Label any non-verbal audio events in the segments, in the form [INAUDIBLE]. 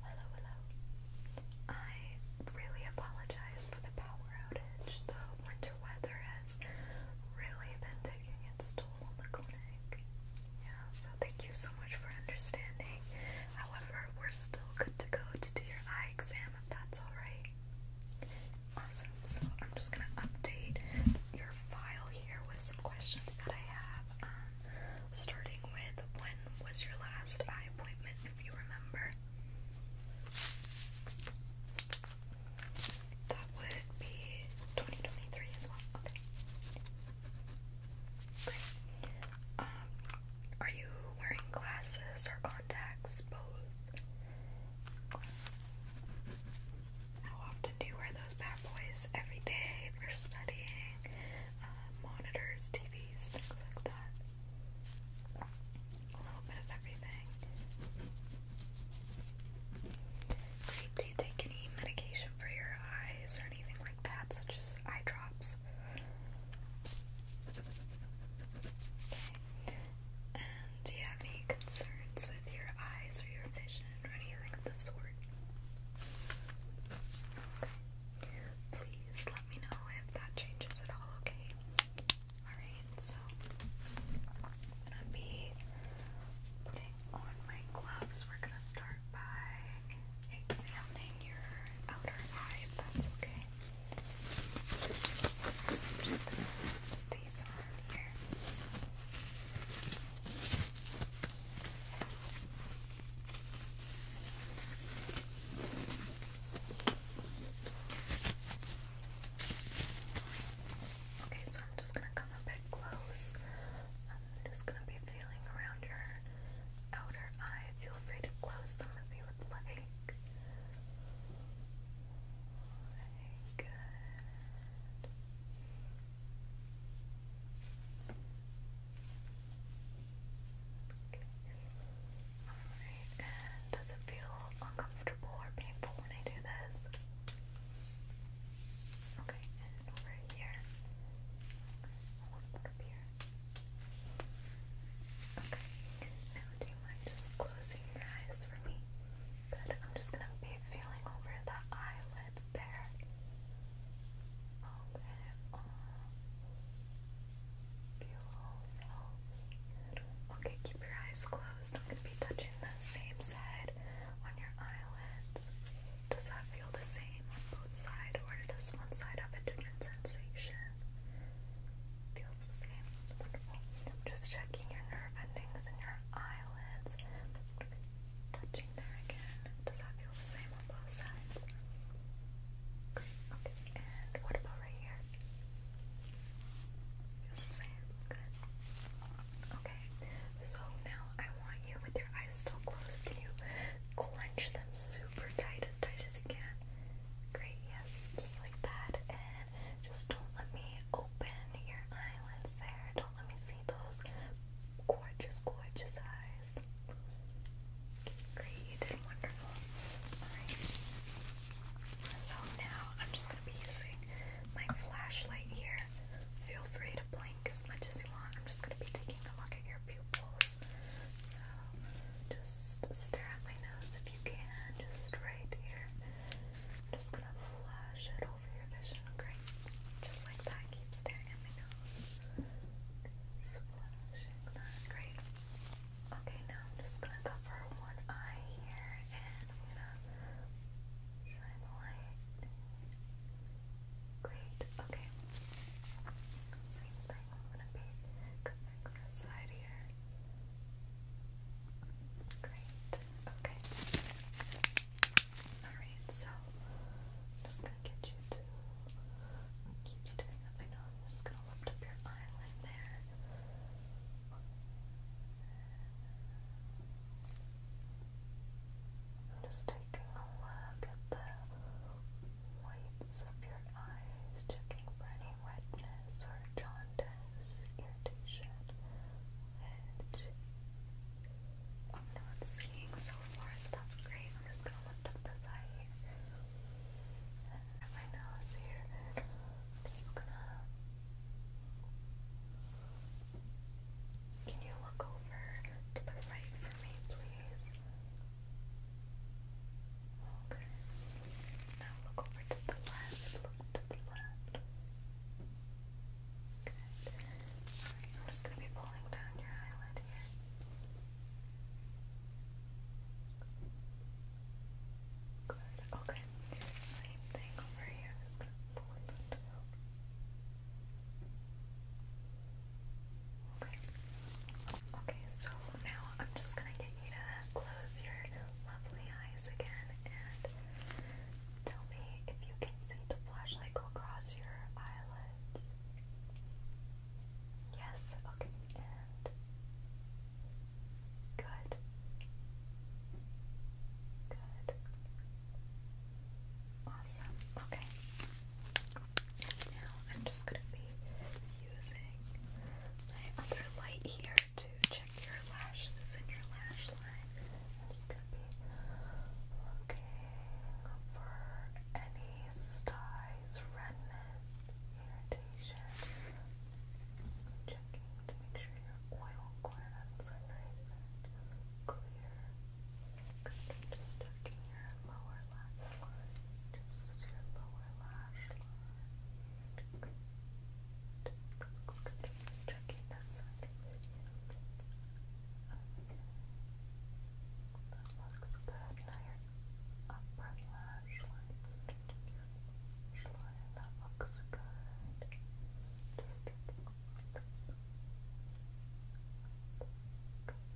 Hello, hello. I really apologize for the power outage. The winter weather has really been taking its toll on the clinic. Yeah, so thank you so much for understanding. However, we're still good to go to do your eye exam if that's alright. Awesome. So I'm just gonna update your file here with some questions that I have. Um, starting with when was your last eye appointment, if you remember? That would be 2023 as well. Okay. Great. Um, are you wearing glasses or contacts? Both. How often do you wear those bad boys? Every day if studying monitors, TVs, things like that. A little bit of everything. Great. Do you take any medication for your eyes or anything like that, such as eye drops? Okay. And do you have any concerns with your eyes or your vision or anything of the sort? Okay. Please let me know if that changes at all, okay? Alright, so I'm gonna be putting on my gloves. We're gonna start by examining your outer eye, that's okay. just gonna put these on here. Okay, so I'm just gonna come a bit close. I'm just gonna be feeling around your outer eye. Feel free to close them if you would like. Okay, good. Alright, does it feel uncomfortable or painful when I do this? Okay, and over here. Okay, one do you mind just closing your eyes for me? Good, I'm just gonna be feeling over that eyelid there. Okay. okay, keep your eyes closed. I'm gonna be touching the same side on your eyelids. Does that feel the same on both sides, or does one side have a different sensation? Feels the same. I'm just checking your nerve endings in your eyelids touching there again. Does that feel the same on both sides? Good. Okay. And what about right here? Feels the same. Good. Okay. So now I want you with your eyes still closed. Can you clench them super tight as tight as you can? Great. Yes. Just like that. And just don't let me open your eyelids there. Don't let me see those gorgeous, gorgeous eyes. Great, you wonderful. Alright. So now I'm just gonna be using my flashlight here. Feel free to blink as much as you want. I'm just gonna be taking a look at your pupils. So just stare at my nose if you can, just right here. I'm just gonna flash it over your vision. Great. Just like that, keep staring at my nose great. Okay, now I'm just gonna cover one eye here and I'm shine the light. Great, okay. Same thing, I'm gonna be covering this side here. Great, okay. Alright, so just get you to keep staring up. I know am just gonna lift up your eyelid there. I'm just taking a look at the whites of your eyes, checking for any redness or jaundice, irritation, which I'm not seeing so far, so that's great. I'm just gonna lift up this eye my nose here. Can you look over to the right for me, please? Okay. Now look over to the left. Look to the left. Good. I'm just going to be pulling down your eyelid here. Good, okay. Same thing over here. just going to pull it down. Okay. Okay, so now I'm just gonna get you to close your lovely eyes again and tell me if you can see the flashlight go across your eyelid good. Yes, okay, good. Good. Awesome. Okay. Now I'm just going to be using my other light here to check your lashes and your lash line. I'm just going to be looking for any disease, dyes, redness, irritation. Checking to make sure your oil glands are nice and clear. just checking your lower lash line. Just your lower lash line. Just checking this side. That looks good. Now your upper lash line. Lash line. That looks good. Just pick up this. Good.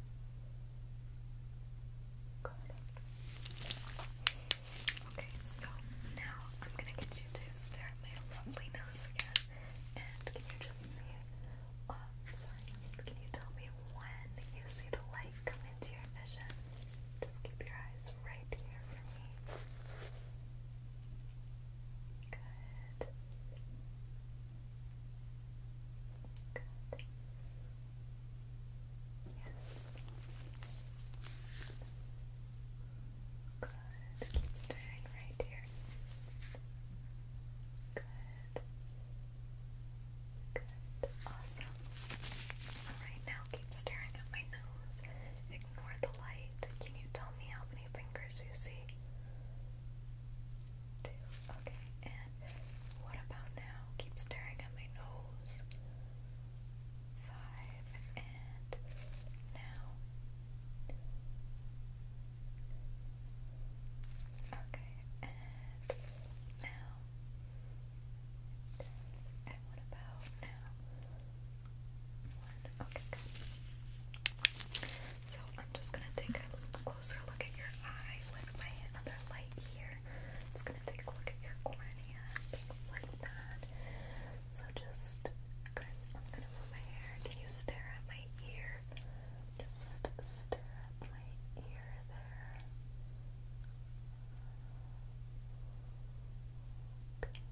Okay, so now I'm gonna get you to stare at my lovely nose again. And can you just see um, sorry, can you tell me when you see the light come into your vision? Just keep your eyes right here for me. Good. Good. Yes. Good. Keep staring right here. Good. Awesome. Alright, now keep staring at my nose. Ignore the light. Can you tell me how many fingers you see? Two. Okay, and what about now? Keep staring at my nose. Five. And now. Okay, and now, and what about now? okay, good. So I'm just gonna take a little closer look at your eye with my other light here. It's gonna take a look at your cornea, things like that. So just, gonna move my hair. Can you stare at my ear? Just stir at my ear there. Okay.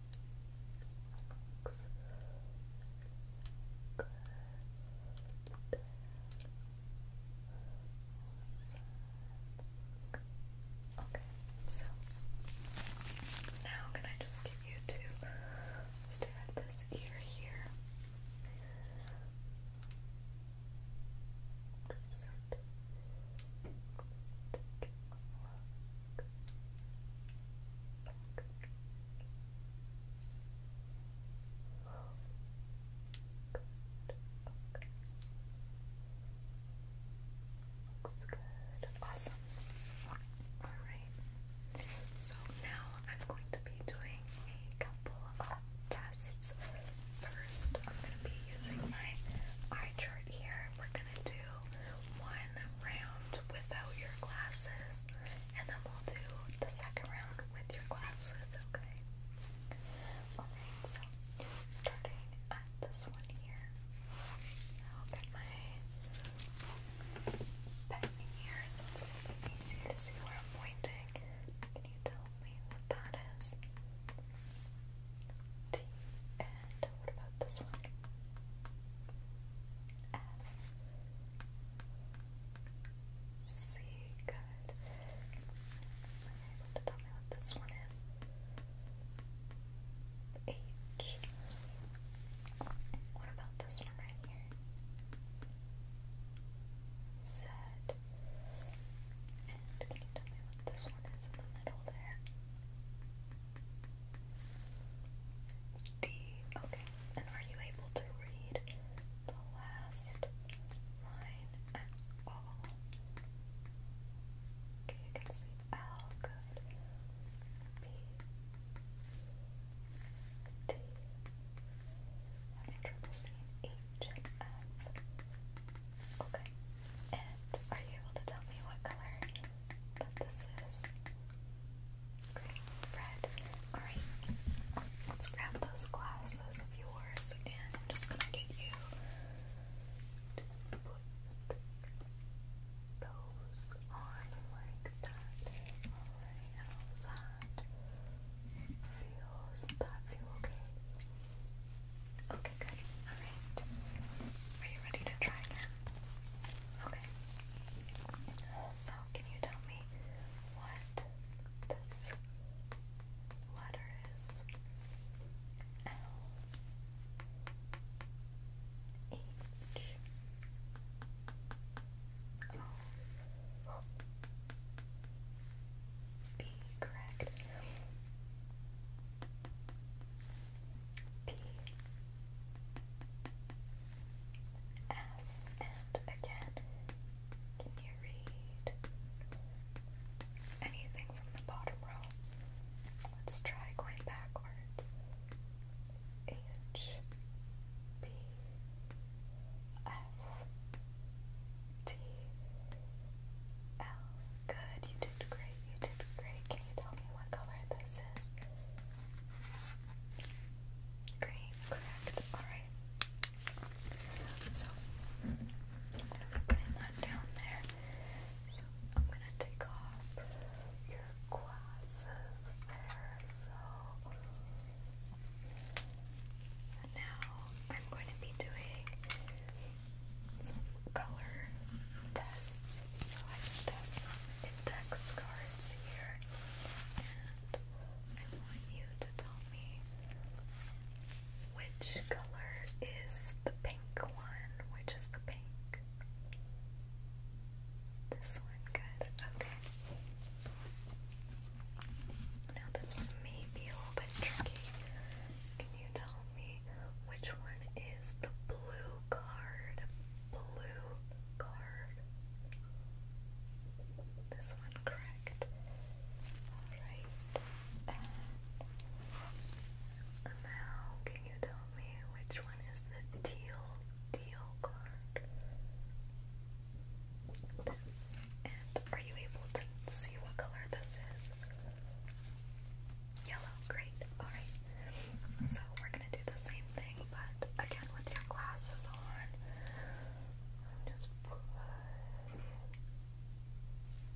Looks good. There. Awesome. Okay, so now can I just get you to stare at this ear here? Looks good. Awesome. Alright. So now I'm going to be doing a couple of tests. First, I'm going to be using my eye chart here. We're going to do one round without your glasses, and then we'll do the second round with your glasses, okay? Alright, so starting at this one here, I'll get my pen here it's a to see where I'm pointing. Can you tell me what that is? T and what about this one? F C good. Are you tell me what this one is? H. What about this one right here? Set. And can you tell me what this one is in the middle there? D. Okay. And are you able to read the last line at all? Okay, you can see L. Oh, good. B. T. Okay. And are you able to tell me what color that this is? red. Alright. Let's grab those glasses of yours and I'm just gonna get you to put those on like that. Alright, that feels that feel okay? Okay, good. Alright. Are you ready to try again? Okay. So can you tell me what this letter is? L H O P, correct. P, F, and again, can you read anything from the bottom row? Let's try going backwards. H, B, T L. Good, you did great, you did great. Can you tell me what color this is? Green, correct. Alright. So, I'm going to be putting that down there. So, I'm going to take off your glasses there. So, now I'm going to be doing some color tests. So I have some index cards here, and I want you to tell me which color is the pink one, which is the pink. This one, good. Okay. Now, this one may be a little bit tricky. Can you tell me which one is the blue card? Blue card. This one, correct. Alright. And now, can you tell me which one is the teal, teal card? this. And are you able to see what color this is? Yellow, great. Alright. So we're gonna do the same thing, but again with your glasses on. just put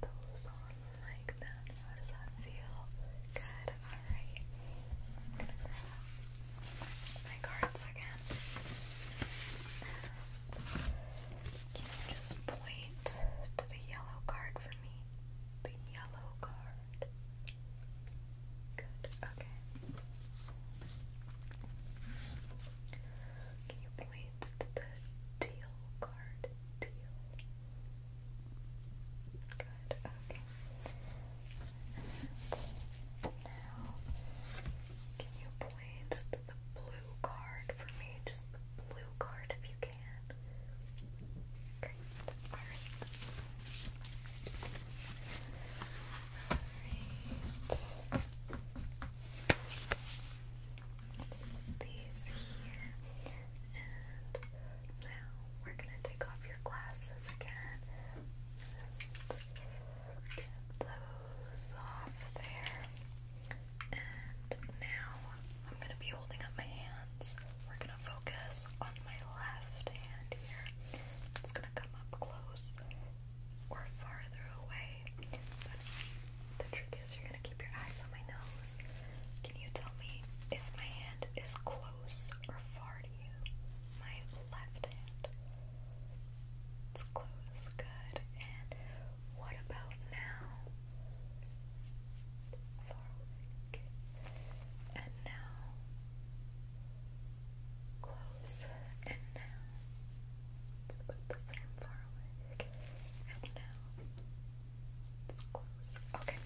those on like that. How does that feel? Good, alright my cards again. can you just point to the yellow card for me? The yellow card. Good, okay. Can you point to the teal card? Teal. Good, okay. now, can you point way, just the blue card for me. Just the blue card if you can. Okay, first. Alright. Let's put these here. And now we're gonna take off your glasses again. Just Get those off there. And now I'm going to be holding up my hands. We're going to focus on my left hand here. It's going to come up close or farther away. But the truth is, you're going to keep your eyes on my nose. Can you tell me if my hand is close or far to you? My left hand. Let's close. Good. And what about now? Forward. And now. Close. And now. Let's put this in forward. And now. Let's close. Okay.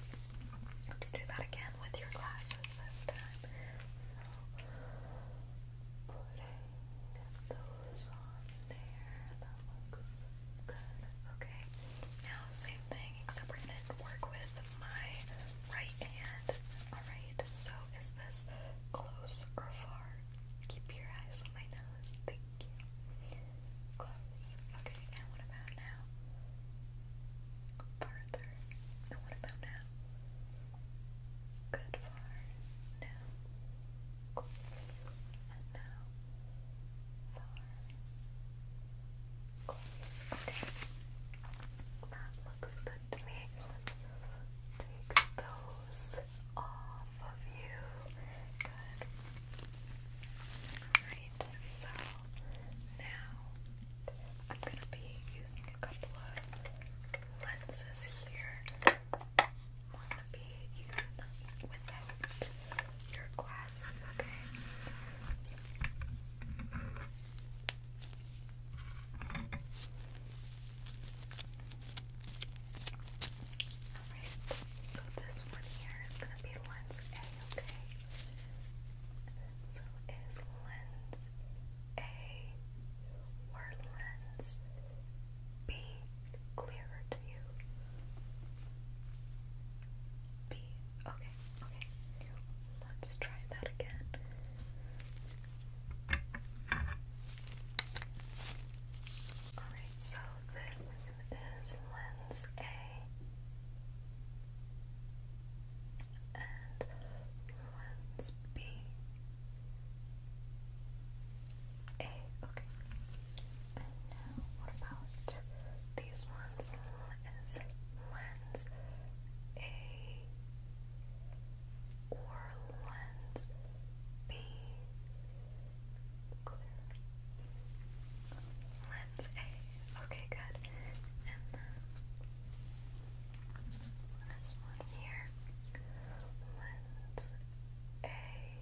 Let's do that again with your glasses this time. So putting those on there. That looks good. Okay. Now, same thing, except we're going to work with my right hand. Alright, so is this close or far? Keep your eyes on my nose. Thank you. Close. Okay, and what about now? Further. And what about now? Good for now. Close and now. Far. Close. Okay. That looks good to me. Take those off of you. Good. Alright, so now I'm going to be using a couple of lenses here. Want to be using them without your glasses, okay? Alright, so this one here is going to be lens A, okay? so is lens a. Orleans B. Clearer to you B. Okay, okay. Let's try that again. Alright, so this is lens A and ones B A. Okay. And now what about these ones? Is lens A or lens B? Clear. Lens A. Okay, good. And then this one here. Lens A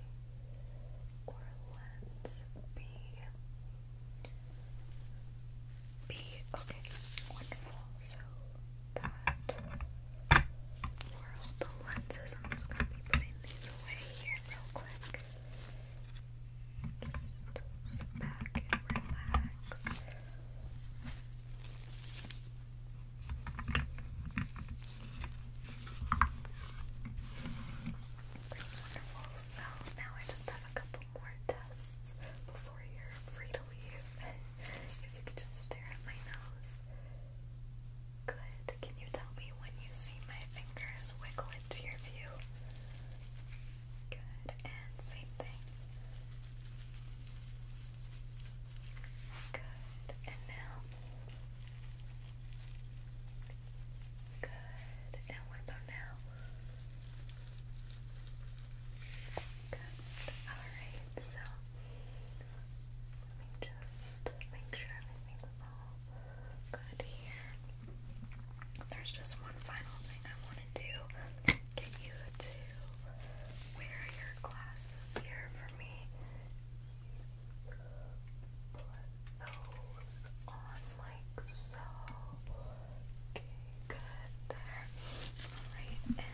or lens B. B. Okay, wonderful. So that were the lenses. I'm just gonna be putting these away here real quick. Just back and relax. Wonderful. So now I just have a couple more tests before you're free to leave. [LAUGHS] if you could just stare at my nose. Good. Can you tell me when you see my fingers wiggle into your view? Good. And same thing. Good. And now. Good. And what about now? Good. Alright, so let me just make sure everything's all good here. There's just one final thing I want to do. Get you to wear your glasses here for me. Put those on like so. good there. Alright, and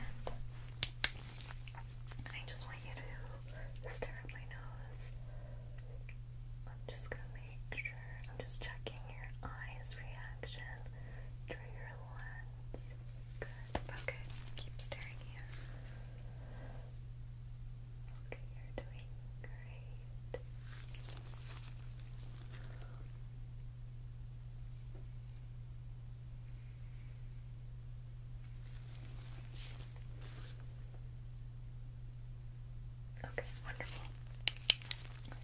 I just want you to stare at my nose. I'm just gonna make sure, I'm just checking your eyes reaction through your ones. Good. Okay, keep staring here. Okay, you're doing great. Okay, wonderful.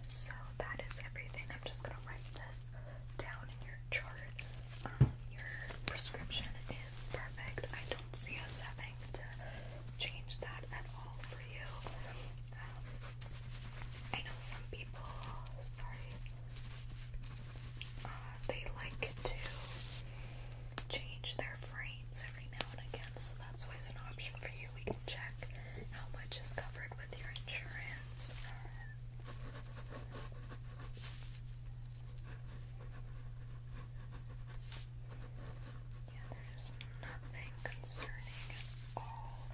So that is everything. I'm just going to write this down in your chart um, your prescription is perfect. I don't see us having to change that at all for you. Um, I know some people, sorry, uh, they like to change their frames every now and again, so that's always an option for you. We can check how much is covered with your insurance. Um, yeah, there's nothing concerning at all.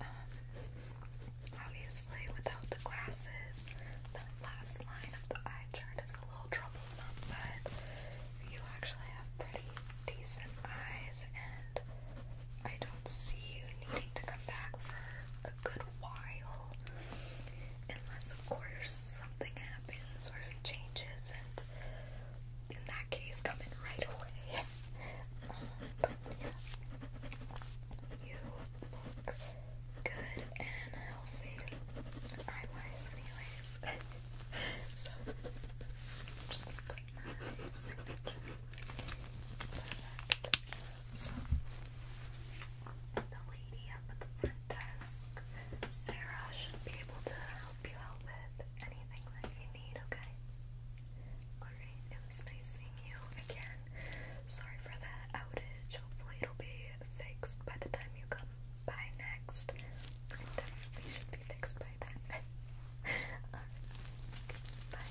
Um, obviously, without the glasses, that last line of the eye chart is a little troublesome, but you actually have pretty decent eyes, and I don't see you needing to come back for a good while all. Unless, of course, something happens or changes, and in that case, come in right away. [LAUGHS] but yeah, you look good and healthy, eye-wise, anyways. [LAUGHS] so, I'm just gonna put my signature. Perfect is the lady up at the front desk. Sarah should be able to help you out with anything that you need, okay? Alright, it was nice seeing you again. Sorry for that outage. Hopefully it'll be fixed by the time you come by next. It should be fixed by then. [LAUGHS] bye.